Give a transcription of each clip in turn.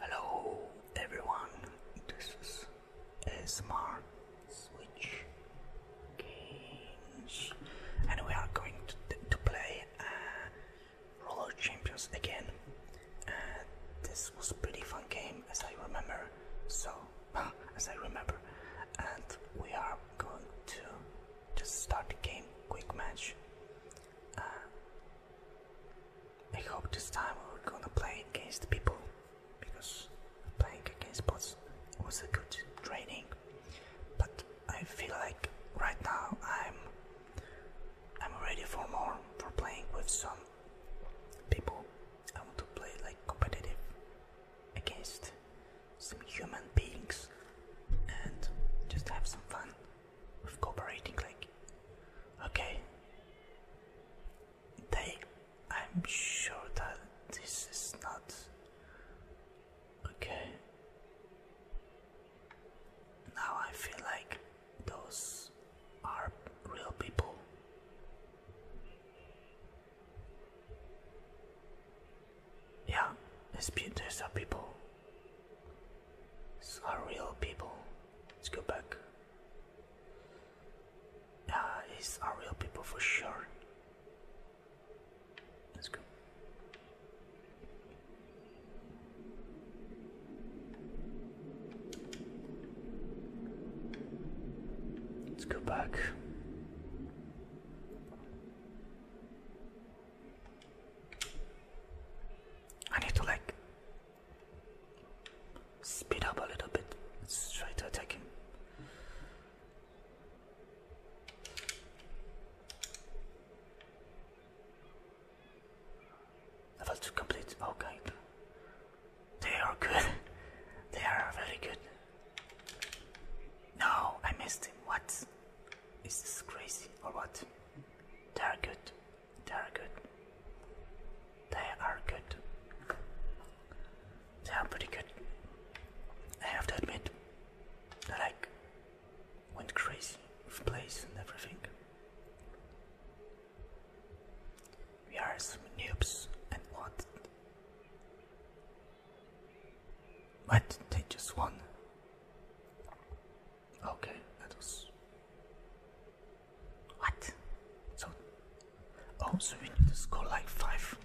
Hello everyone, this is ASMR Switch Games and we are going to, play uh, Roller Champions again. Uh, this was a pretty fun game as I remember, so as I remember and we are going to just start the game, quick match. Uh, I hope this time we're gonna play against people because playing against bots was a good training, but I feel like right now I'm I'm ready for more for playing with some people. I want to play like competitive against some human beings and just have some fun with cooperating like okay they I'm sure that this is not okay now I feel like those are real people yeah, these there's are people. It's not real people. Let's go back. Yeah, it's our real people for sure. Let's go. Let's go back. I need to like speed up a little bit. Let's try to attack him. Level 2 complete. Okay. They are good. they are very good. No, I missed him. What? Is this crazy or what? They are good. They are good. They are good. They are pretty good. I have to admit, I like went crazy with place and everything. We are some noobs and what? Why did they just one? Okay, that was what? So, oh, so we need to score like five.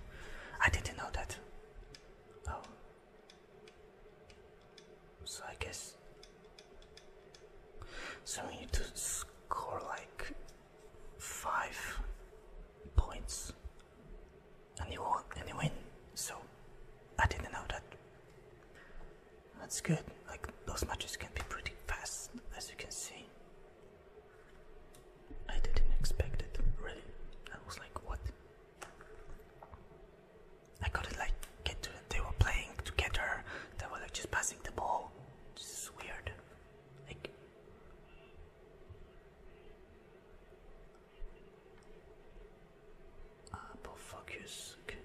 I didn't know that. Oh, so I guess so we need to score like five points and he won and he win. So I didn't know that. That's good. Like those matches can be pretty fast, as you can see. I didn't expect it really. I was like, what? I got it like get to they were playing together. They were like just passing the ball. This is weird. Like Hyperfocus. Okay.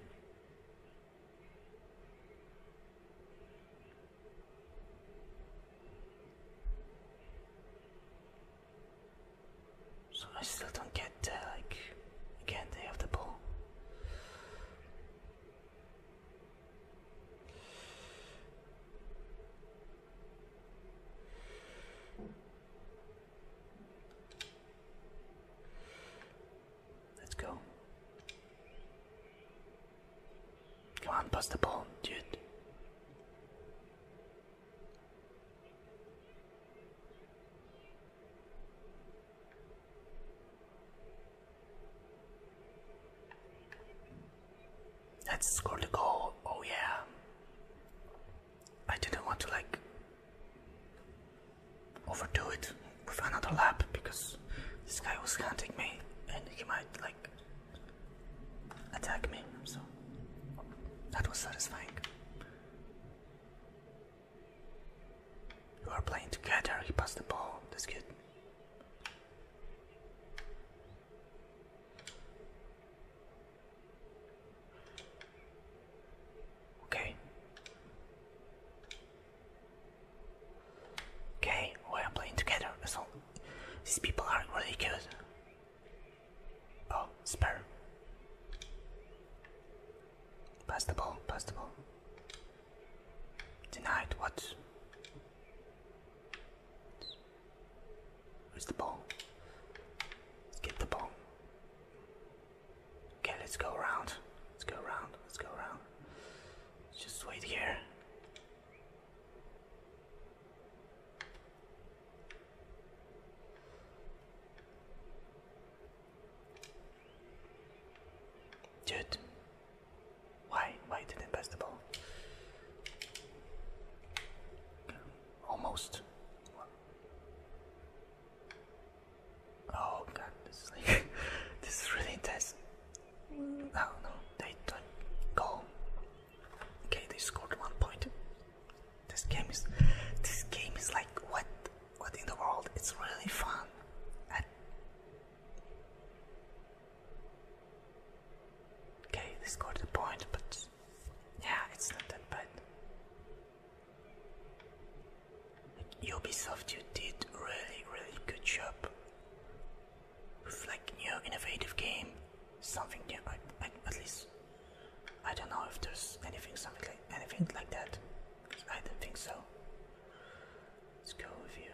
So I still don't get uh, like again they have the ball. Let's go. Come on, pass the ball, dude. Let's score the goal. Oh, yeah. I didn't want to like overdo it with another lap because this guy was hunting me and he might like attack me, so that was satisfying. You are playing together, he passed the ball, that's good. Okay. Okay, we are playing together. So these people are really good. Oh, spare. Pass the ball, pass the ball. Denied, what? Where's the ball? Let's get the ball. Okay, let's go around. Let's go around. Let's go around. Let's just wait here. Dude, why? Why didn't pass the ball? Almost. Oh god, this is like this is really intense. No, no, they don't go. Okay, they scored one point. This game is this game is like what what in the world? It's really fun. okay, they scored a point, but yeah, it's nothing but Ubisoft, you did really, really good job with like new innovative game, something new. at least I don't know if there's anything, something like anything like that. I don't think so. Let's go with you.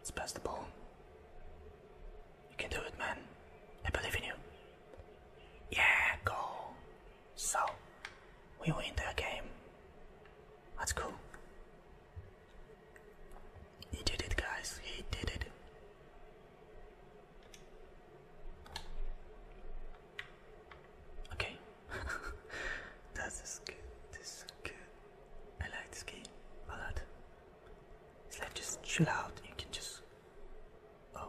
It's pass the ball. You can do it, man. I believe in you. Yeah, go. So, we win the game. That's cool. He did it, guys. He did it. Okay, that's is good. This is good. I like this game a lot. It's like just chill out. You can just. Oh.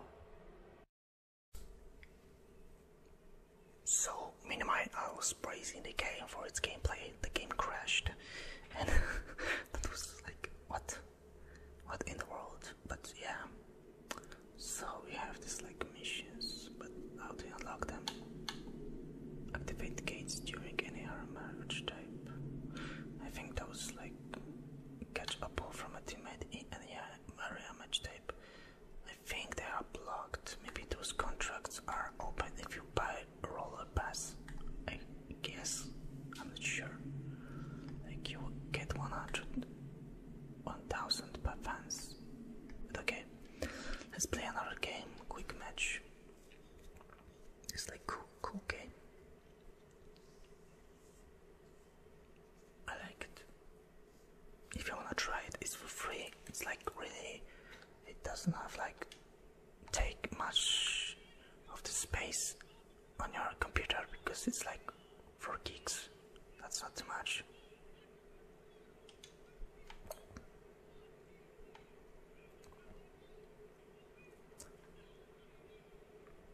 So Minamite, I was praising the game for its gameplay. The game crashed, and that was like what? What in the world? But yeah. So we have this like but how do unlock them? Activate gates during any marriage type. I think those like catch a ball from a teammate in any match type. I think they are blocked. Maybe those contracts are open if you buy a roller pass. I guess. I'm not sure. Like you get 100 1000 per fans. But okay, Let's play another game, quick match. It's like cool, cool game. I like it. If you wanna try it, it's for free. It's like really, it doesn't have like take much of the space on your computer because it's like four gigs. That's not too much.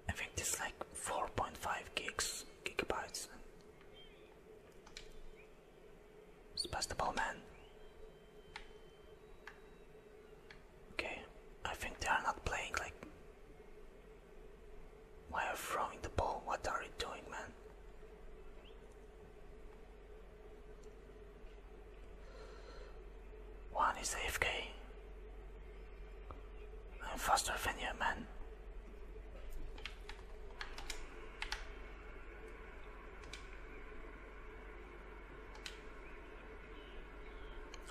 I think it's like 4.5 gigs, gigabytes. Spass the ball, man. Okay, I think they are not playing like. Why are throwing the ball? What are you doing, man? One is the FK, am faster than you, man.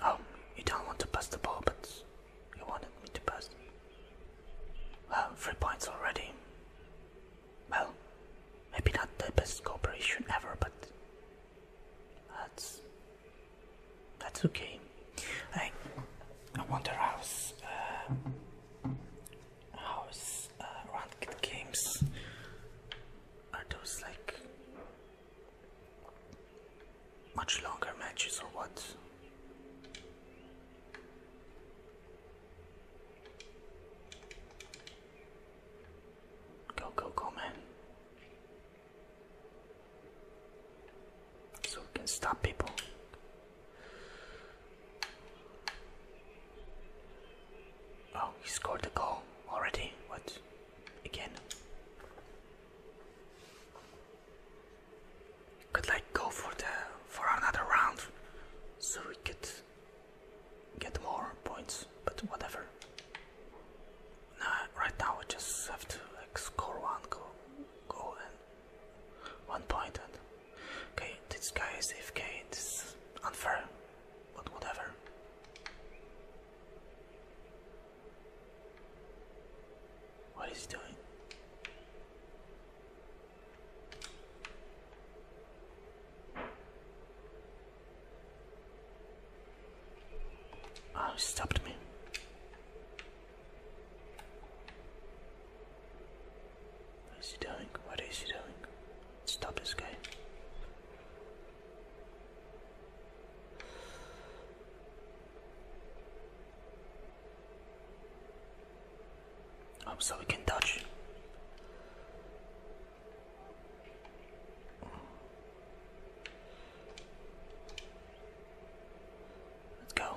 Oh, you don't want to bust the ball, but you wanted me to bust. pass. Well, uh, three points already. Well, maybe not the best cooperation ever, but that's that's okay. I I wonder how's uh, how's uh, ranked games are those like much longer matches or what? Go, go, go, man. So we can stop people. Oh, he scored the goal already. What? Again? could like go for the for another round so we could get more points but whatever now right now we just have to like score one goal go, and one point and okay this guy is AFK it's unfair but whatever what is he doing? Oh, he stopped me. What is he doing? What is he doing? Stop this guy. Oh, so we can touch. Let's go.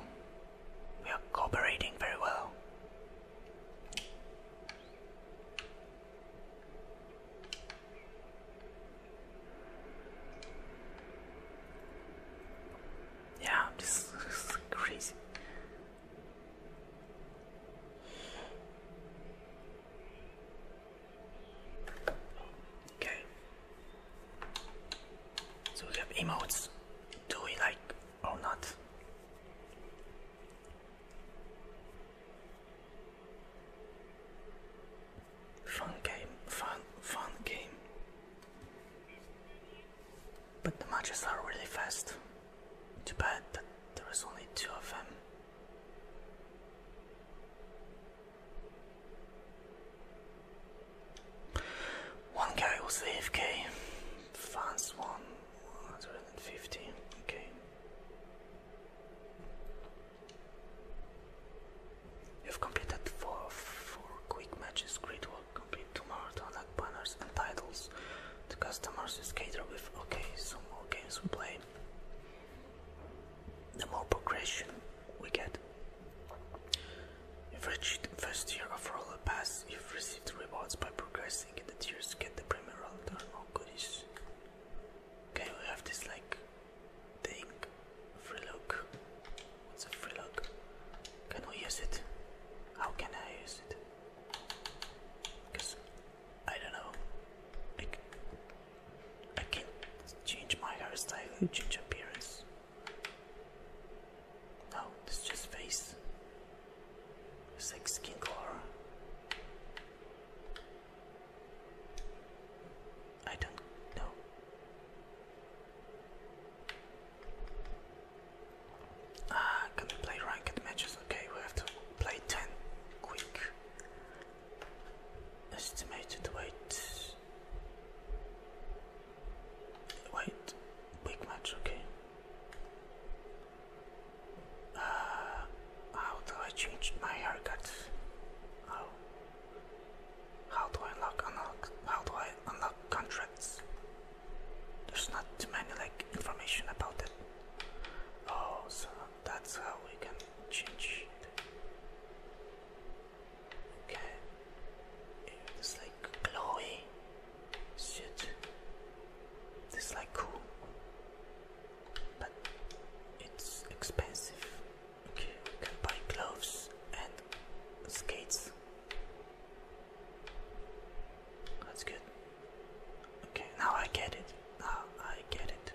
We are cooperating very well. Yeah, this is crazy. Okay. So we have emotes. Do we like or not? Fun game, fun, fun game. But the matches are really fast. Too bad that there is only two of them. One guy was AFK, fans won 150, okay. You've completed four, four quick matches, great catalog complete two marathon banners and titles to customers is catered with okay so more games we play the more progression we get if reached first year of roller pass you've received rewards by progressing in the tiers get the premier roller or oh, goodies okay we have this like thing free look it's a free lock. Cannot use it. How can I use it? Because I don't know. I, I can change my hairstyle, change appearance. No, it's just face. It's like skin color. I don't know. Ah, can we play ranked matches? Okay, we have to play 10 quick. Estimated weight. Wait, big match, okay. Uh, how do I change my haircut? Oh, how do I unlock unlock how do I unlock contracts? There's not too many like information about it. Oh so that's how we can change it. Okay. It's like glowy shit. This like cool. But it's expensive. Okay, we can buy gloves and skates that's good. Okay, now I get it. Now I get it.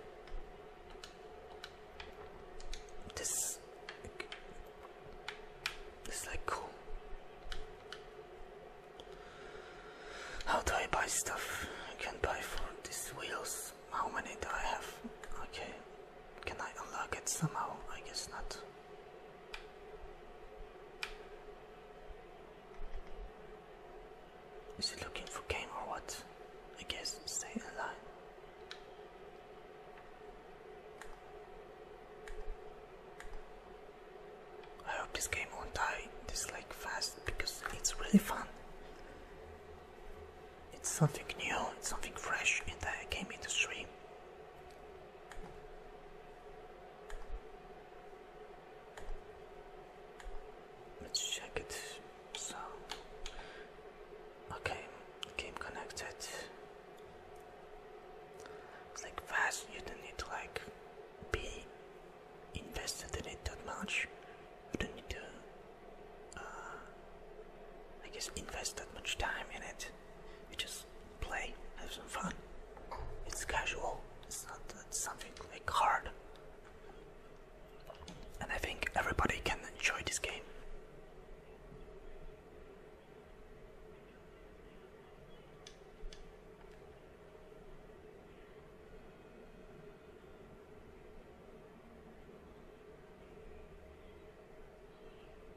This, this is like cool. How do I buy stuff? I can not buy for these wheels. How many do I have? Okay. Can I unlock it somehow? I guess not. Is it looking for game or what? I guess stay in line. I hope this game won't die this like fast because it's really fun. It's something new, something fresh in the game industry. Let's check it. So, okay, game connected. It's like fast. You don't need like be invested in it that much. You don't need to, uh, I guess, invest that much time in it. You just play, have some fun. It's casual. It's not it's something like hard. And I think everybody can enjoy this game.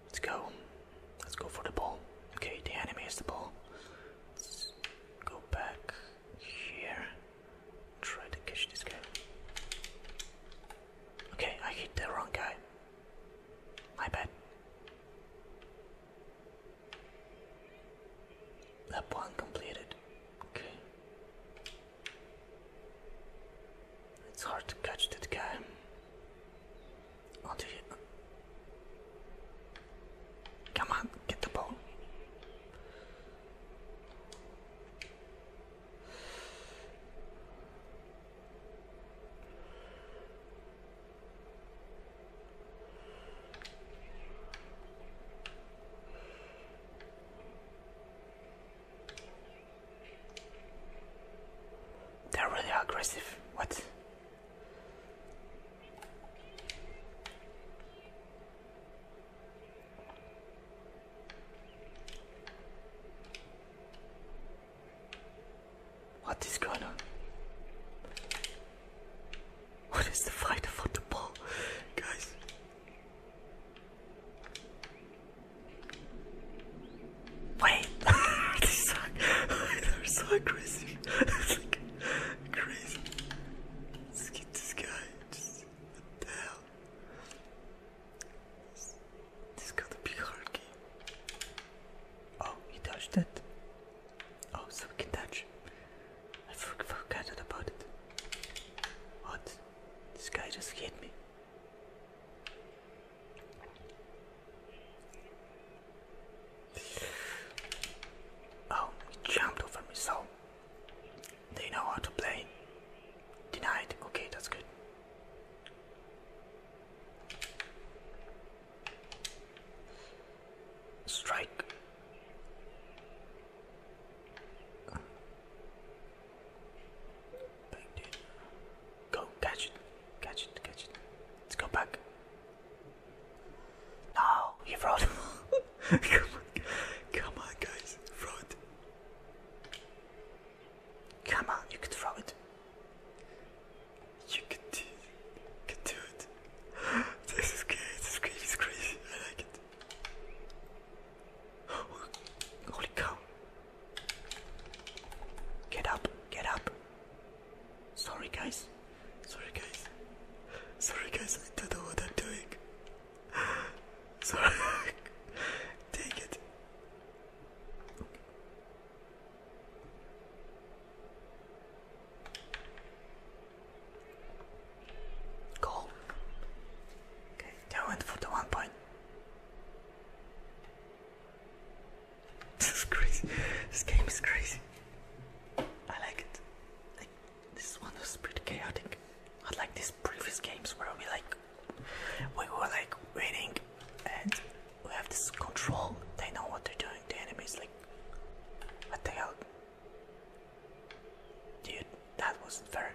Let's go. Let's go for the ball. Okay, the enemy is the ball. Let's go back here. Try to catch this guy. Okay, I hit the wrong guy. My bad. That one completed. Okay. It's hard to catch that guy. Onto you. Come on, get the ball. They're really aggressive. What? What is going on? What is the fight for the ball? Guys, Wait, they're so, they're so aggressive. it's like crazy. Let's get this guy. what the hell? This, got a big hard Oh, he touched it. Oh, so we can touch. I forgot about it. What? This guy just hit me. Oh, jumped over me, so they know how to play. Denied. Okay, that's good. Strike. Bang, dude. Go, catch it. Catch it, catch it. Let's go back. No, he fraud. come come on, guys, fraud. Come on, you can throw it. You can do, you can do it. This is crazy. This crazy. It's crazy. I like it. Holy cow. Get up, get up. Sorry, guys. Sorry, guys. Sorry, guys, I don't know what I'm doing. Sorry. Take it. Goal. Okay, they for the one point. This is crazy. This game is crazy. I like it. Like this one was pretty chaotic. I like these previous games where we like we were like waiting and we have this control. They know what they're doing. The enemies like what the hell? Dude, that wasn't fair.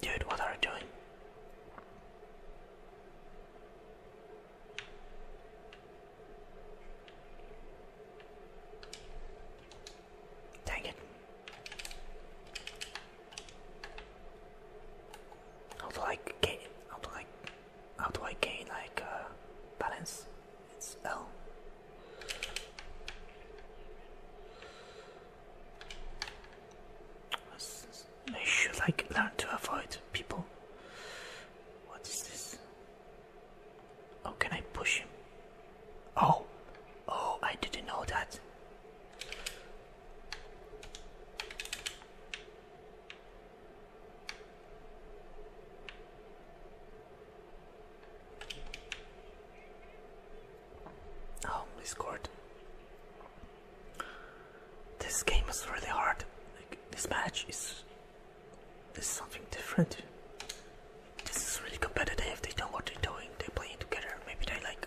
Dude, what are you doing? Dang it. How do I get how do I how do I gain like uh, balance? It's L. I should like learn to avoid people. What is this? How oh, can I push him? Oh, oh, I didn't know that. Oh, we scored. This game is really hard. this match is this something different. This is really competitive. They know what they're doing. they play together. Maybe they like.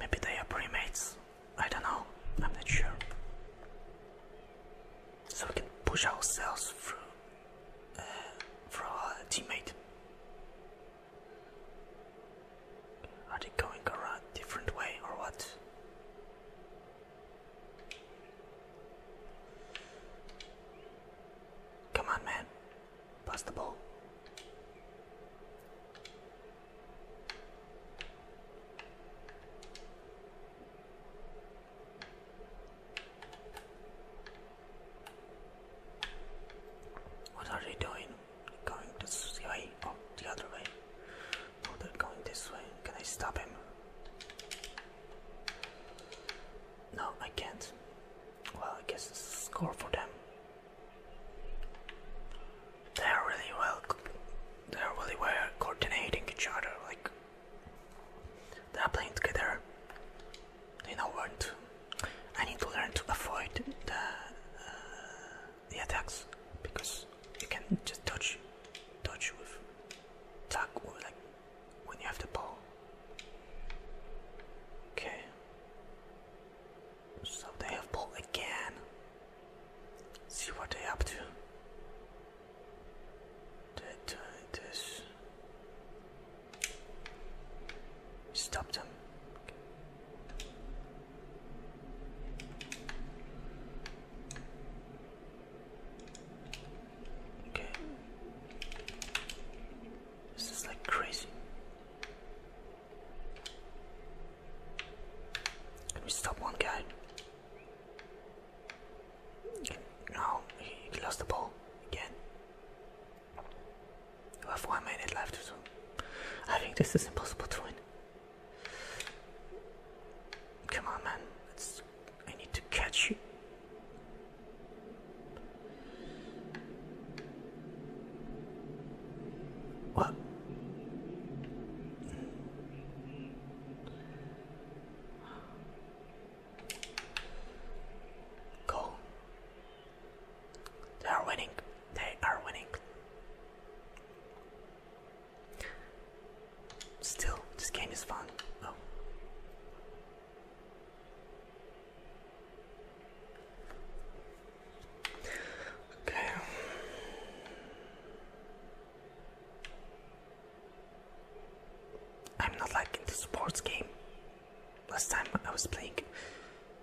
Maybe they are playmates. I don't know, I'm not sure. So we can push ourselves through uh, for teammate. Are they going around different way or what? Come on, man, pass the ball. What are they doing? Going this way? Oh, the other way. No, they're going this way. Can I stop him? No, I can't. Well, I guess it's a score for them. They are really well. They are really well coordinating each other. Like they are playing together. They know to. I need to learn to avoid the uh, the attacks because you can just touch, touch with, attack with like when you have the ball. Okay. So they have ball again. See what they up to. That uh, stop them. Okay. This is like crazy. Can we stop one guy? No, he lost the ball again. We have one minute left, I think this is impossible to win. Come on, man. I need to catch you. What? Go. They are winning. They are winning. Still, this game is fun. Okay. I'm not like into sports game. Last time I was playing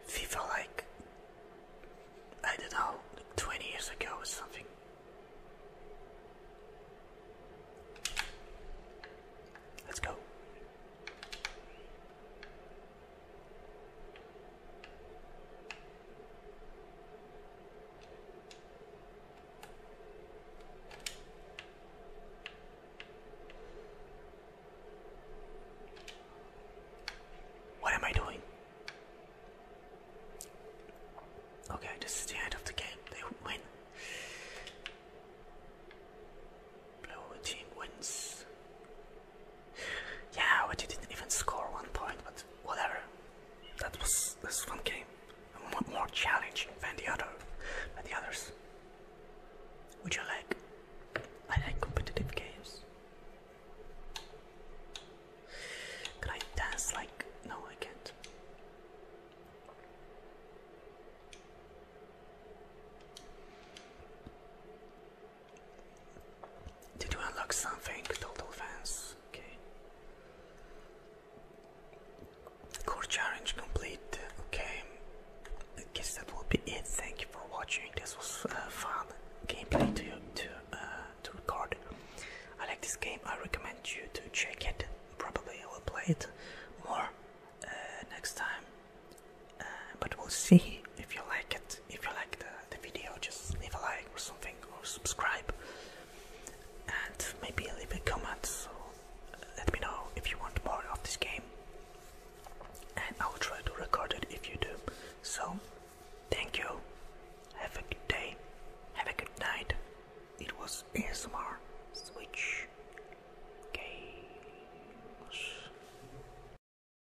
FIFA like I don't know, 20 years ago or something. Let's go. What am I doing? Okay, this is the end of the game. They win. Blue team wins. Yeah, we didn't even score one point, but whatever. That was this fun game. More challenging than the other, than the others. Would you like? I like competitive games. Can I dance like? No, I can't. Did you unlock something, Total Fans? Okay. Core challenge complete. Okay. I guess that will be it. Thank you for watching. This was uh, fun gameplay to to uh, to record. I like this game. I recommend you to check it. Probably I will play it more uh, next time but we'll see if you like it if you like the, the video just leave a like or something or subscribe and maybe leave a comment so let me know if you want more of this game and I'll try to record it if you do so thank you have a good day have a good night it was ASMR Switch Games